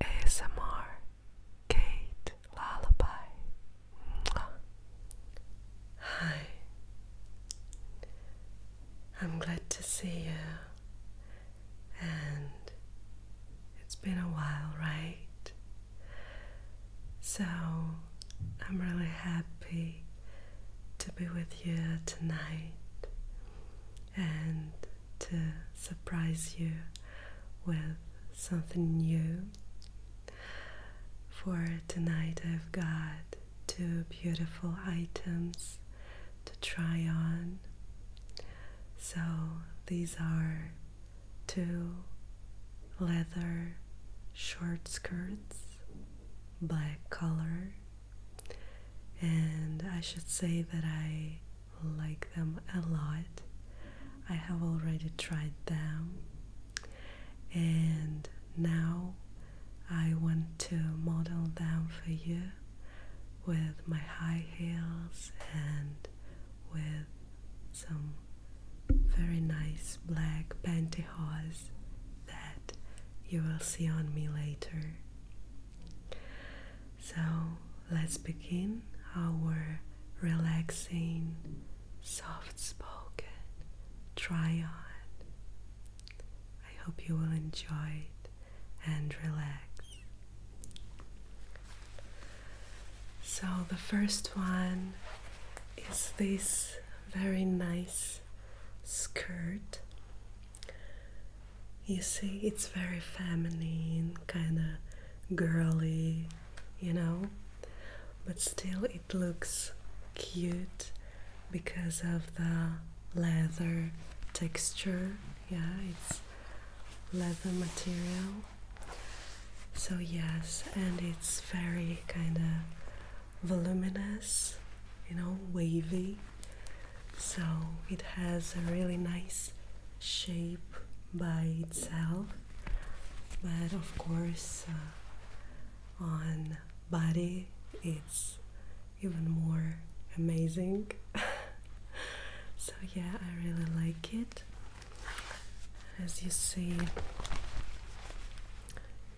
ASMR Kate Lullaby. Hi. I'm glad to see you. And it's been a while, right? So I'm really happy to be with you tonight and to surprise you with something new. For tonight, I've got two beautiful items to try on. So, these are two leather short skirts, black color, and I should say that I like them a lot. I have already tried them, and now I want to model them for you with my high heels and with some very nice black pantyhose that you will see on me later. So let's begin our relaxing, soft spoken try I hope you will enjoy it and relax. So, the first one is this very nice skirt you see, it's very feminine, kind of girly, you know, but still it looks cute because of the leather texture. Yeah, it's leather material. So, yes, and it's very kind of voluminous, you know, wavy so it has a really nice shape by itself but of course uh, on body it's even more amazing so yeah I really like it as you see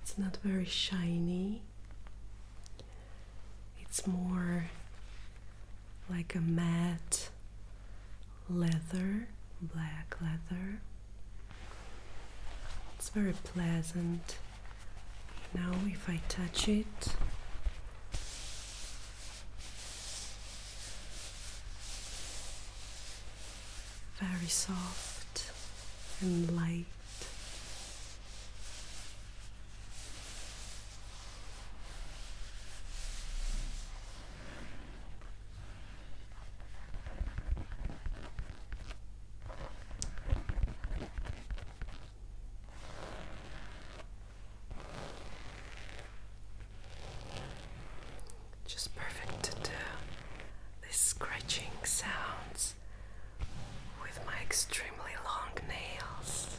it's not very shiny it's more like a matte leather, black leather. It's very pleasant. Now, if I touch it, very soft and light. Just perfect to do these scratching sounds with my extremely long nails.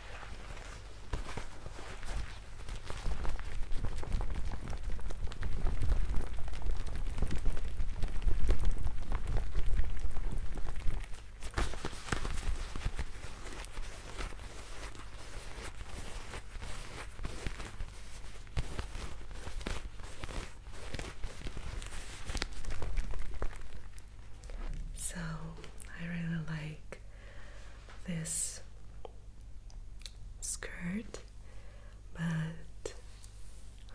So I really like this skirt, but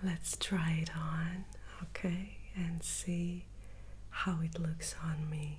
let's try it on, okay, and see how it looks on me.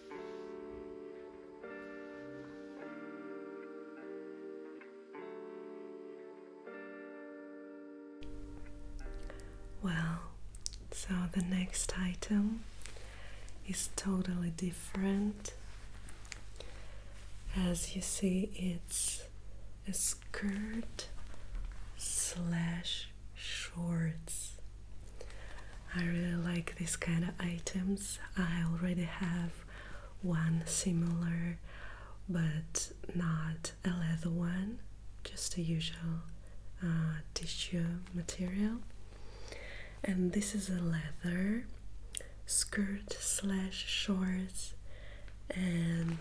Well, so the next item is totally different. As you see, it's a skirt slash shorts. I really like this kind of items. I already have one similar, but not a leather one, just a usual uh, tissue material. And this is a leather skirt slash shorts, and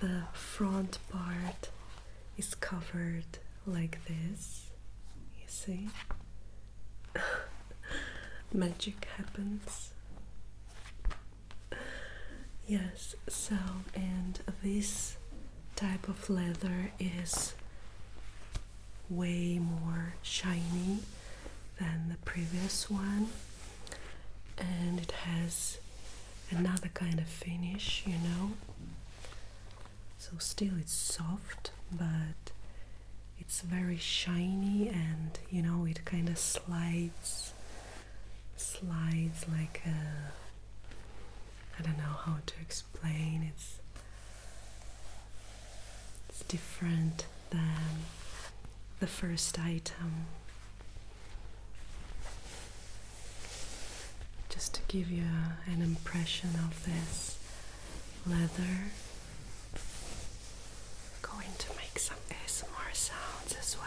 the front part is covered like this. You see? Magic happens. Yes, so and this type of leather is way more shiny than the previous one and it has another kind of finish you know so still it's soft, but it's very shiny and you know it kind of slides slides like a I don't know how to explain it's it's different than the first item just to give you an impression of this leather. Going to make some ASMR sounds as well.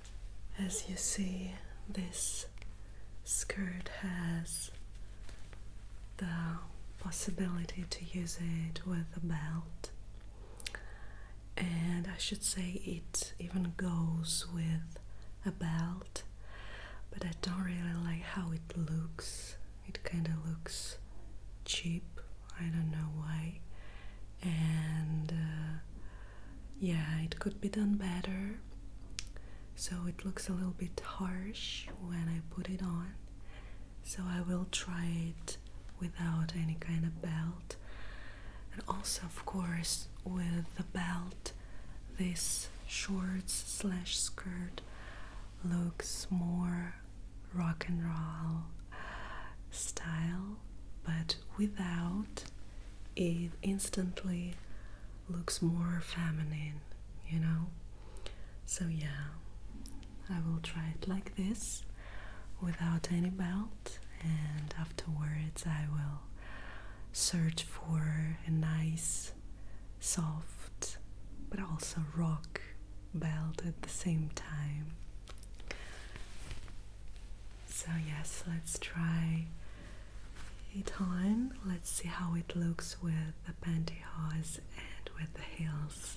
as you see, this skirt has the possibility to use it with a belt, and I should say it even goes with a belt, but I don't really like how it looks. It kind of looks cheap, I don't know why, and uh, yeah, it could be done better. So it looks a little bit harsh when I put it on. So I will try it without any kind of belt. And also, of course, with the belt, this shorts slash skirt looks more rock and roll style, but without, it instantly looks more feminine, you know? So, yeah, I will try it like this without any belt, and afterwards, I will search for a nice, soft, but also rock belt at the same time. So, yes, let's try it on. Let's see how it looks with the pantyhose and with the heels.